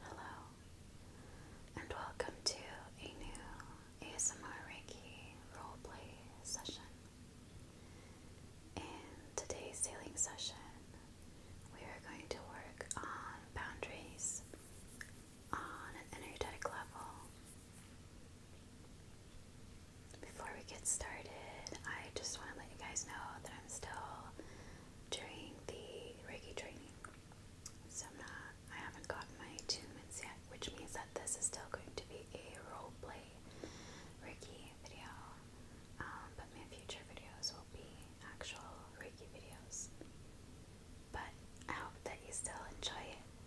Hello, and welcome to a new ASMR Reiki roleplay session. In today's sailing session, we are going to work on boundaries on an energetic level. Before we get started, I just want to let you guys know that still doing the Reiki training. So I'm not, I haven't gotten my attunements yet, which means that this is still going to be a role play Reiki video. Um, but my future videos will be actual Reiki videos. But I hope that you still enjoy it.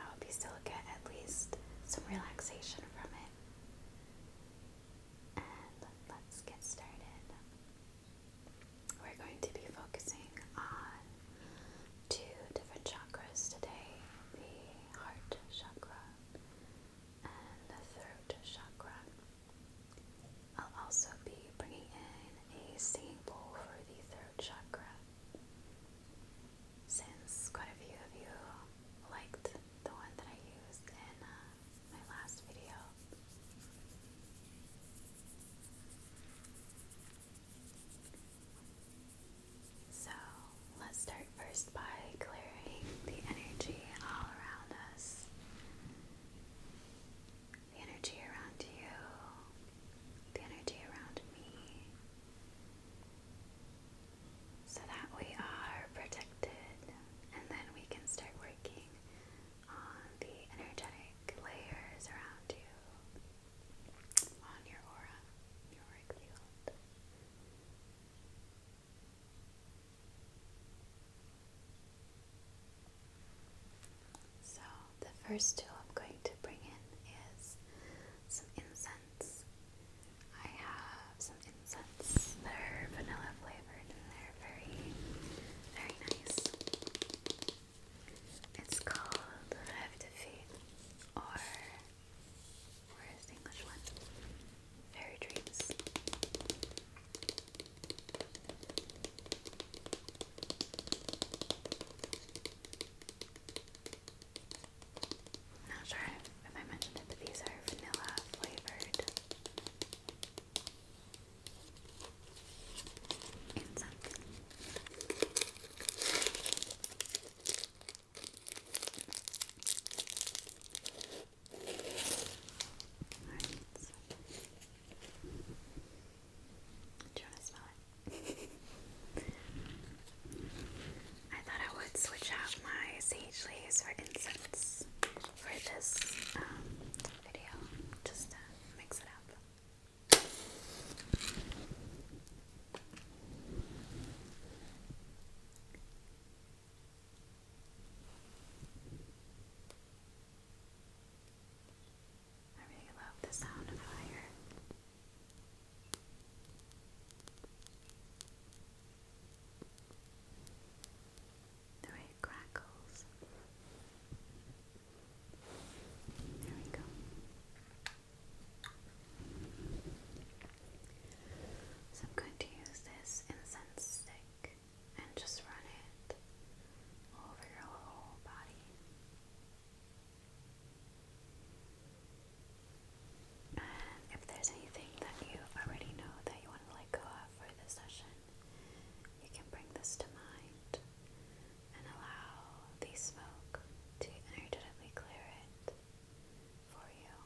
I hope you still get at least some relaxation from it and let's get started. We're going to be focusing on two different chakras today the heart chakra and the throat chakra. I'll also be bringing in a singing bowl for the throat chakra. Since quite a few of you liked the one that I used in uh, my last video. So let's start first by clearing the energy all around us. The energy around you, the energy around me, so that we are protected, and then we can start working on the energetic layers around you, on your aura, your auric field. So, the first tool I'm going to bring in is some incense I have some incense that are vanilla flavored and they're very, very nice. It's called Rêve de Fée, or where is English one? Fairy Dreams. Not sure um, I mentioned it, these are vanilla flavored incense. Do you want to smell it? I thought I would switch out my sage leaves for incense for this um, video, just to mix it up. I really love the sound of fire the way it crackles. There we go. So I'm going to use this incense stick and just run it over your whole body. And if there's anything that you already know that you want to let go of for the session, you can bring this to mind and allow the smoke to energetically clear it for you.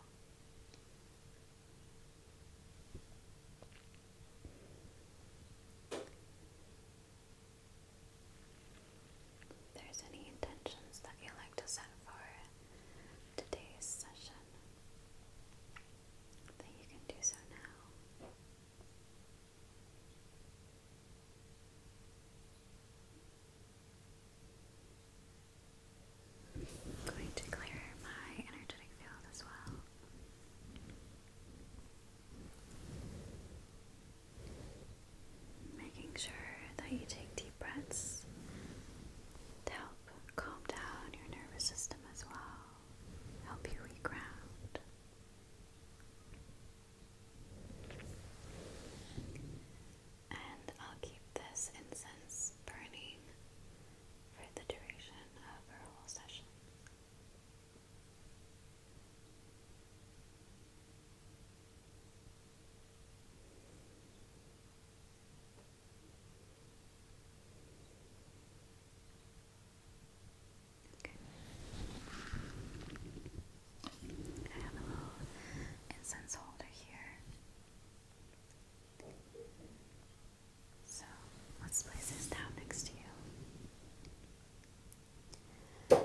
there's any intentions that you like to set for today's session, that you can do so now. going to clear my energetic field as well. Making sure that you take deep breaths to help calm down your nervous system as well, help you reground. And I'll keep this incense burning for the duration of our whole session. Okay. I have a little incense holder here. So let's place this down next to you. And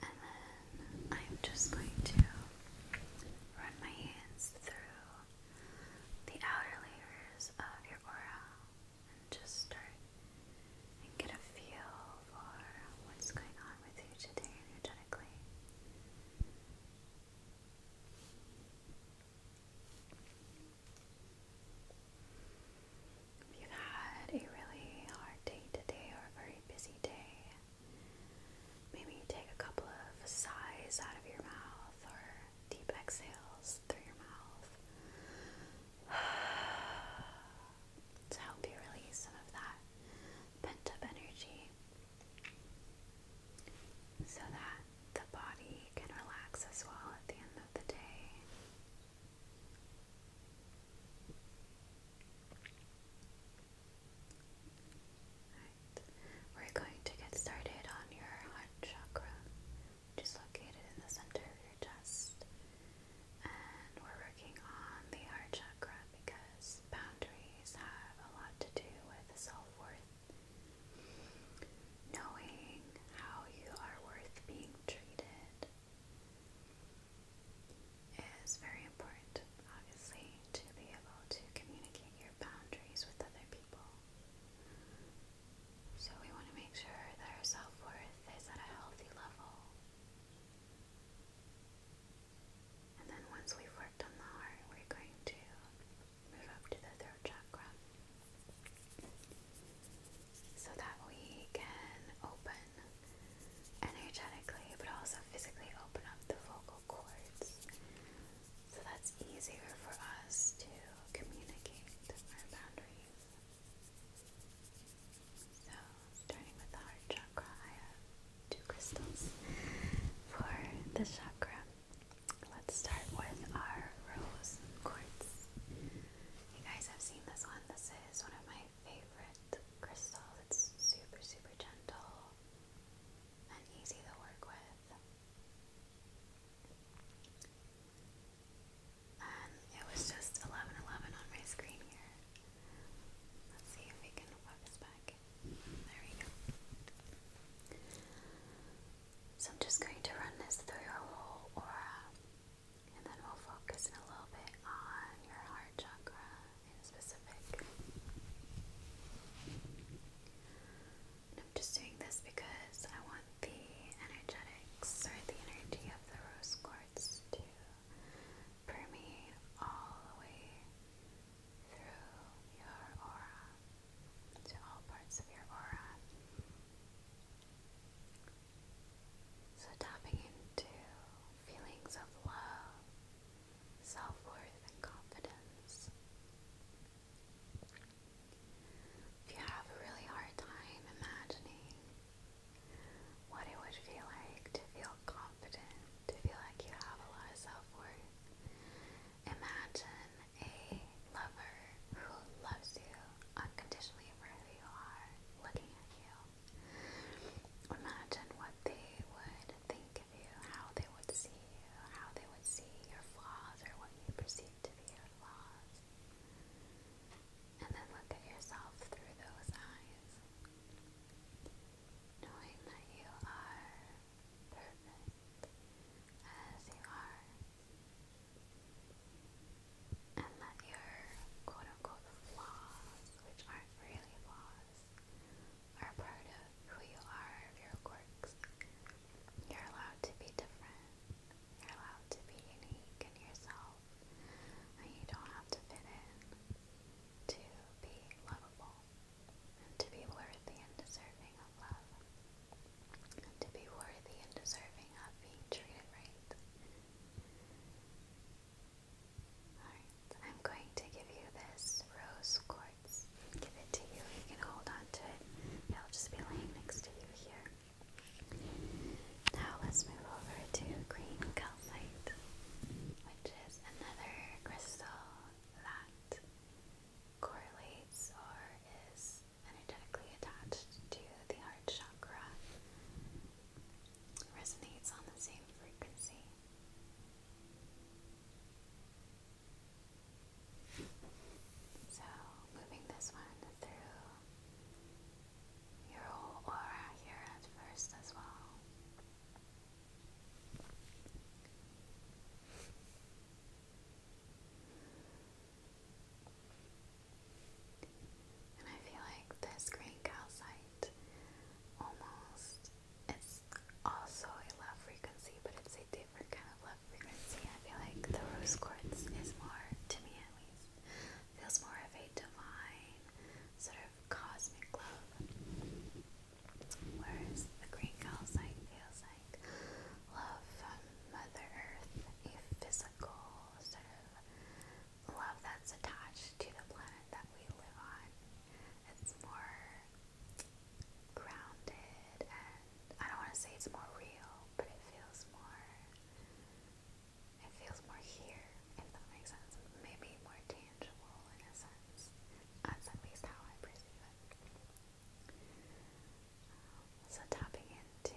then I'm just going to run my hands through the outer layers of your aura and just start and get a feel for what's going on with you today energetically. If you've had a really hard day today or a very busy day, Maybe you take a couple of sighs out of your mouth or deep exhales through your mouth to help you release some of that pent up energy so that the body can relax as well at the end of the day. We're going to get started on your heart chakra, which is located in the center of your chest. And we're working on the heart chakra because boundaries have a lot to do with self-worth. Knowing how you are worth being treated is very important, obviously to be able to communicate your boundaries with other people. So we want to make sure that our self-worth is at a healthy level. And then once we've worked on the heart, we're going to move up to the throat chakra so that we can open energetically but also physically open up the vocal cords so that's easier for us to communicate our boundaries. So, starting with the heart chakra, I have two crystals for the chakra. Let's start with our rose quartz. You guys have seen this one. This is one of my favorite crystals. It's super, super gentle and easy to work with. Um, it was just 11 on my screen here. Let's see if we can focus back. There we go. So I'm just going to run this through your whole aura. And then we'll focus a little bit on your heart chakra in specific. I'm just doing this because I want the energetics or the energy of the rose quartz to permeate all the way through your aura, to all parts of your aura. So, tapping into feelings of love, self worth, and confidence. If you have a really hard time imagining what it would feel like to feel confident, to feel like you have a lot of self worth, imagine a lover who loves you unconditionally for who you are, looking at you. Imagine what they would think how they would see you, how they would see your flaws or what you perceive to be your flaws. And then look at yourself through those eyes, knowing that you are perfect as you are, and that your quote unquote flaws, which aren't really flaws, are part of who you are, your quirks. You're allowed to be different. You're allowed to be unique in yourself. And you don't have to fit in to be lovable and to be worthy and deserving of love. And to be worthy and deserving of being treated right. Alright, I'm going to give you this rose quartz cards, give it to you. You can hold on to it. It'll just be laying next to you here. Now let's move over to green calcite, which is another crystal that correlates or is energetically attached to the heart chakra. Resonates on the same frequency. So, moving this one through your whole aura here at first as well. And I feel like this green calcite almost it's also a love frequency, but it's a different kind of love frequency. I feel like the rose quartz is more, to me at least, feels more of a divine, sort of cosmic love. Whereas the green calcite feels like love from Mother Earth, a physical sort of love that's attached to the planet that we live on. It's more grounded and I don't want to say it's more real, but it feels more it feels more here, if that makes sense. Maybe more tangible in a sense. That's at least how I perceive it. Um, so tapping into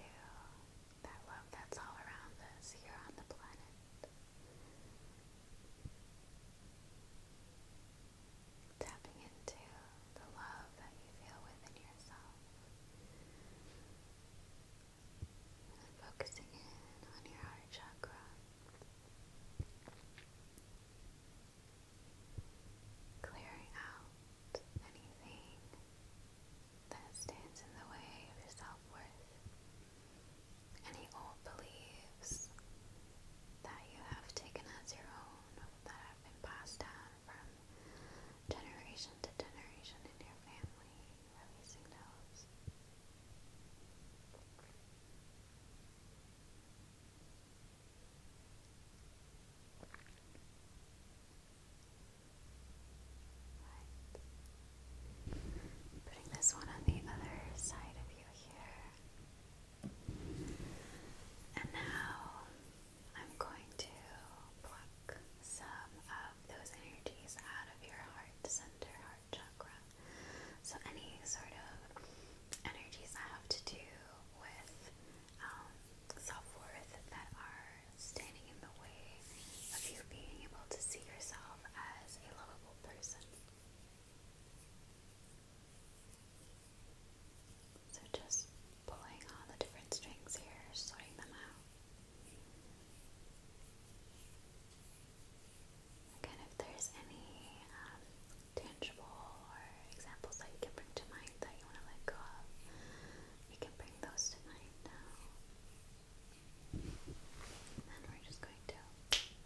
that love that's all around us here on the planet tapping into the love that you feel within yourself, focusing in on your heart chakra, clearing out anything that stands in the way of your self worth, any old beliefs that you have taken as your own, that have been passed down from generation to generation in your family, releasing those. Putting this one on the other side of you here. And now I'm going to pluck some of those energies out of your heart center, heart chakra. So, any sort of energies that have to do with um, self worth that are standing in the way of you being able to see yourself as a lovable person. So just pulling all the different strings here, sorting them out. Again, if there's any um, tangible or examples that you can bring to mind that you want to let go of, you can bring those to mind now. And we're just going to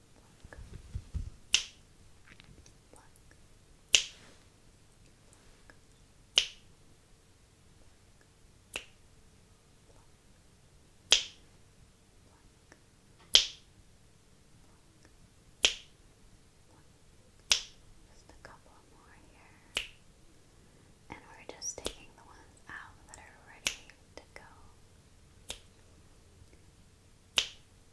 Pluck. Pluck. Just a couple more here. And we're just taking the ones out that are ready to go.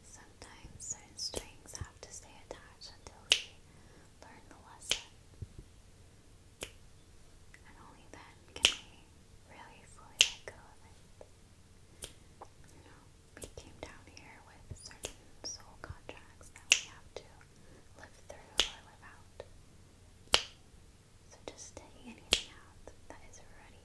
Sometimes certain strings have to stay attached until we learn the lesson. And only then can we really fully let go of it. You know, we came down here with certain soul contracts that we have to live through or live out. So just taking anything out that is ready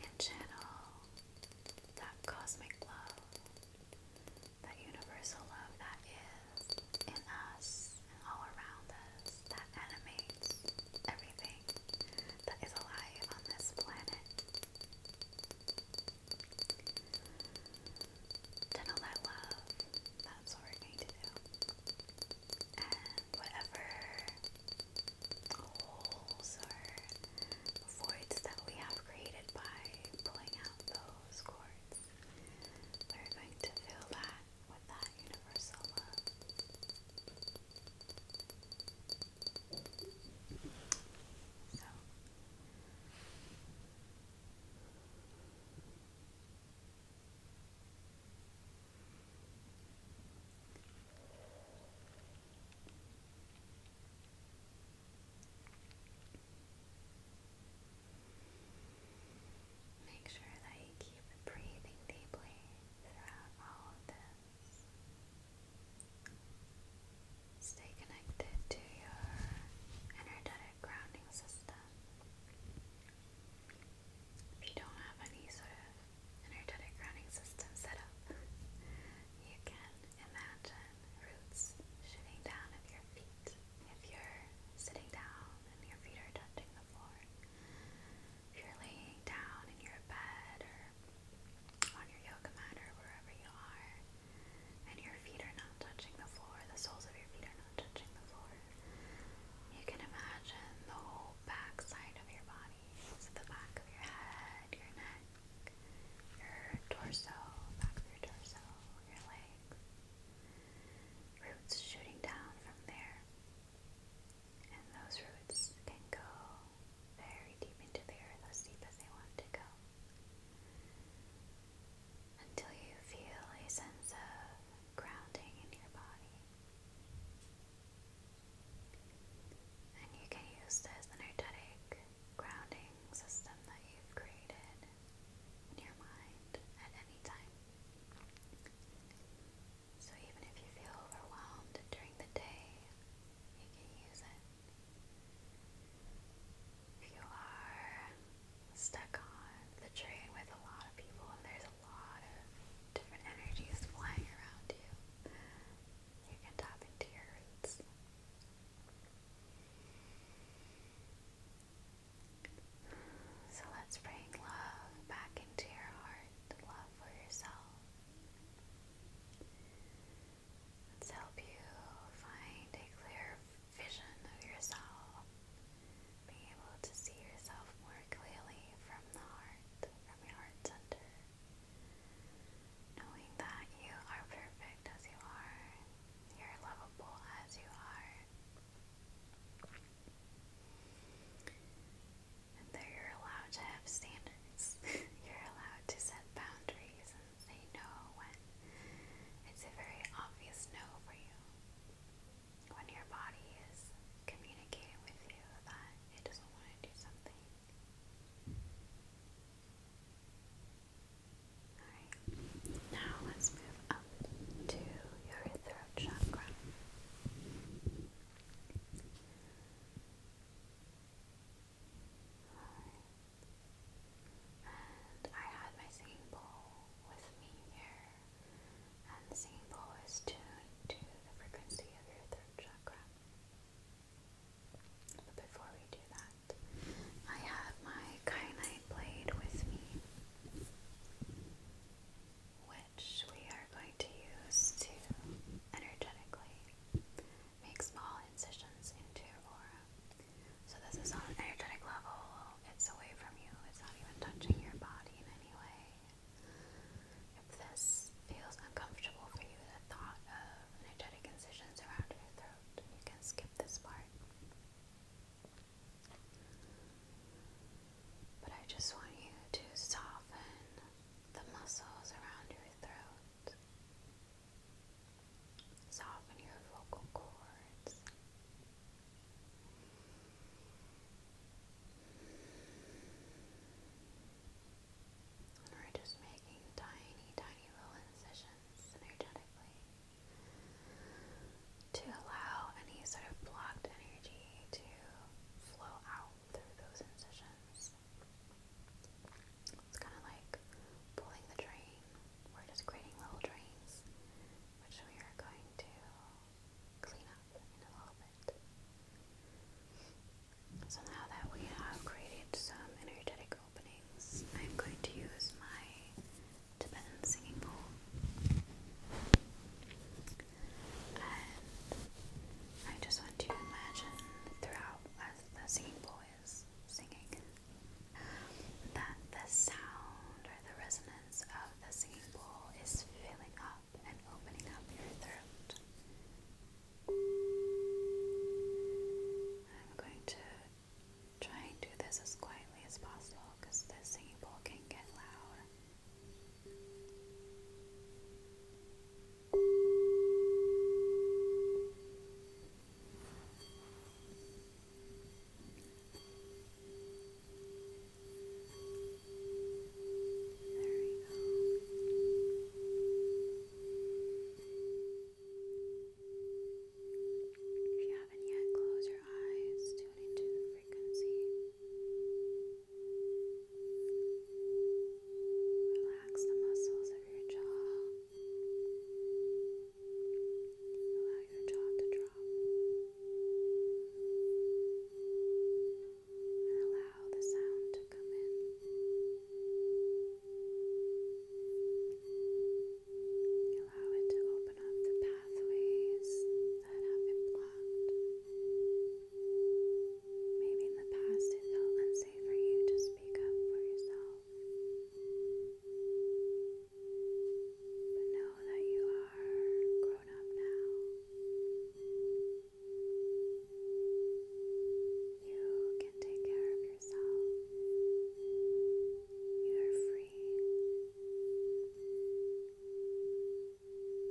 and channel that cosmic love, that universal love that is in us and all around us, that animates everything that is alive on this planet. Channel that love, that's what we're to do and whatever holes or voids that we have created by pulling out those cords. We're going to fill that with that universal love. So Make sure that you keep breathing deeply throughout all of this. Stay connected to your energetic grounding system. If you don't have any sort of energetic grounding system set up, you can imagine roots shooting down at your feet. If you're sitting down and your feet are touching the floor, if you're laying down in your bed or on your yoga mat or wherever you are, and your feet are not touching the floor, the soles of your feet are not touching the floor. You can imagine the whole back of your body. the back of your head, your neck, your torso, back of your torso, your legs. Roots shooting down from there. And those roots can go very deep into the earth, as deep as they want to go. Until you feel a sense of grounding in your body. And you can use this energetic grounding system that you've created in your mind at any time. So even if you feel overwhelmed during the day, you can use it. If you are stuck on the train with a lot of people and there's a lot of different energies flying around you. You can tap into your roots. So let's bring love back into your heart, love for yourself. Let's help you find a clear vision of yourself being able to see yourself more clearly from the heart, from your heart center. Knowing that you are perfect as you are, you're lovable as you are, and that you're allowed to have standards. you're allowed to set boundaries and say no when it's a very obvious no for you when your body is communicating with you that it doesn't want to do something. Alright, now let's move up to your throat chakra. And I had my singing bowl with me here and the singing bowl is tuned to the frequency of your throat chakra. But before we do that, I have my kyanite blade with me, which we are going to use to energetically make small incisions into your aura. So this is on an energetic level, it's away from you, it's not even touching your body in any way. If this feels uncomfortable for you, the thought of energetic incisions around your throat, you can skip this part. But I just want you to soften the muscles around your throat. Soften your vocal cords we're just making tiny, tiny little incisions energetically to allow any sort of blocked energy to flow out through those incisions. It's kind of like pulling the drain. We're just creating little drains, which we are going to so now that we have created some energetic openings, I'm going to use my Tibetan singing bowl. And I just want to imagine throughout as the singing bowl is singing that the sound or the resonance of the singing bowl is filling up and opening up your throat. I'm going to try and do this as quietly as possible because the singing bowl can get loud. There we go. If you haven't yet, close your eyes, tune into the frequency. Relax the muscles of your jaw. Allow your jaw to drop and allow the sound to come in. Allow it to open up the pathways that have been blocked. Maybe in the past it felt unsafe for you to speak up for yourself. But know that you are grown up now. You can take care of yourself. You are free.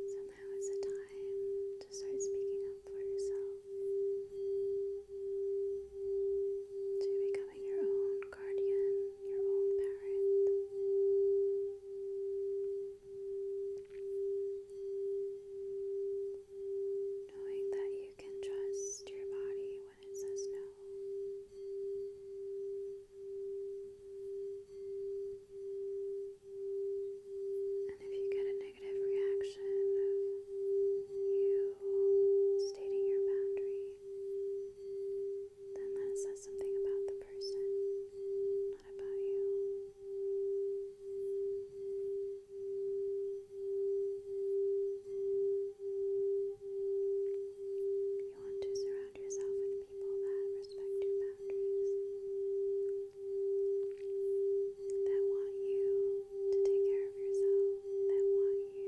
So now is the time to start speaking up for yourself. To becoming your own guardian Knowing that you can trust your body when it says no. And if you get a negative reaction of you stating your boundary, then that says something about the person, not about you. You want to surround yourself with people that respect your boundaries, that want you to take care of yourself, that want you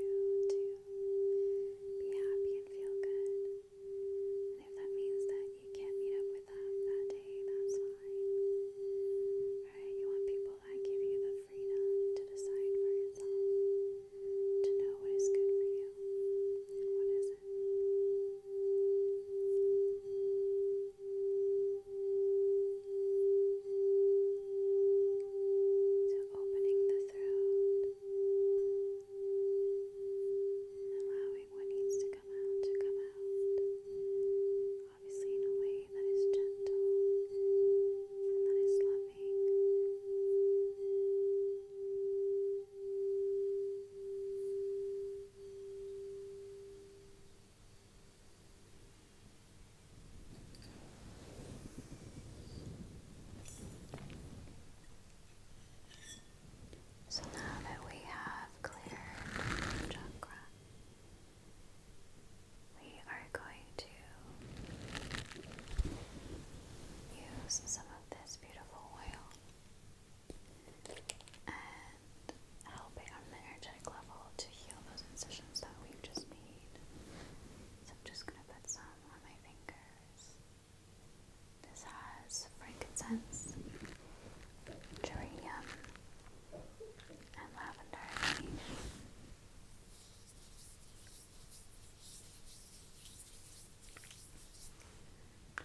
to be happy and feel good. And if that means that you can't meet up with them that day, that's fine. Right? You want people that give you the freedom to decide for yourself, to know what is good for you and what isn't. So, opening the throat, Allowing what needs to come out to come out. Obviously, in a way that is gentle and that is loving. So now that we have cleared chakra, we are going to use some of this beautiful oil and helping on the energetic level to heal those incisions that we've just made. So I'm just going to put some on my fingers. This has frankincense, geranium, and lavender. I'm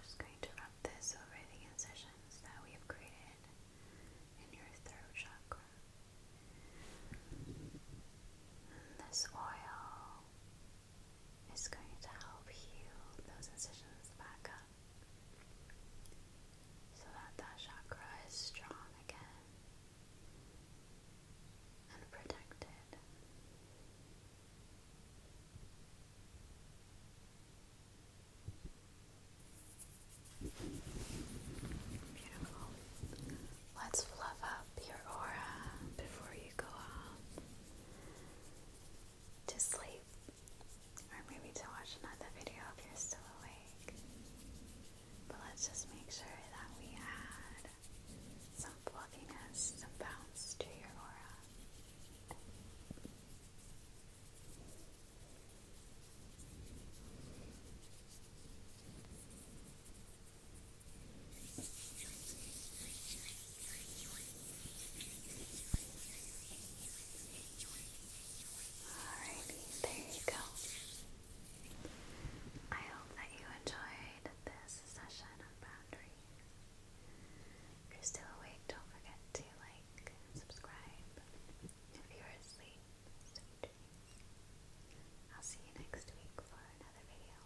just going to rub this over the incisions that we have created in your throat chakra. this oil it's going to help heal those incisions back up so that that chakra is strong again and protected. Beautiful. Let's fluff up your aura before you go off to sleep or maybe to watch another video if you're still awake. But let's just make sure that we add some fluffiness, some bounce to your aura. Alrighty, there you go. I hope that you enjoyed this session on boundaries. If you're still awake, don't forget to like and subscribe. If you're asleep, I'll see you next week for another video.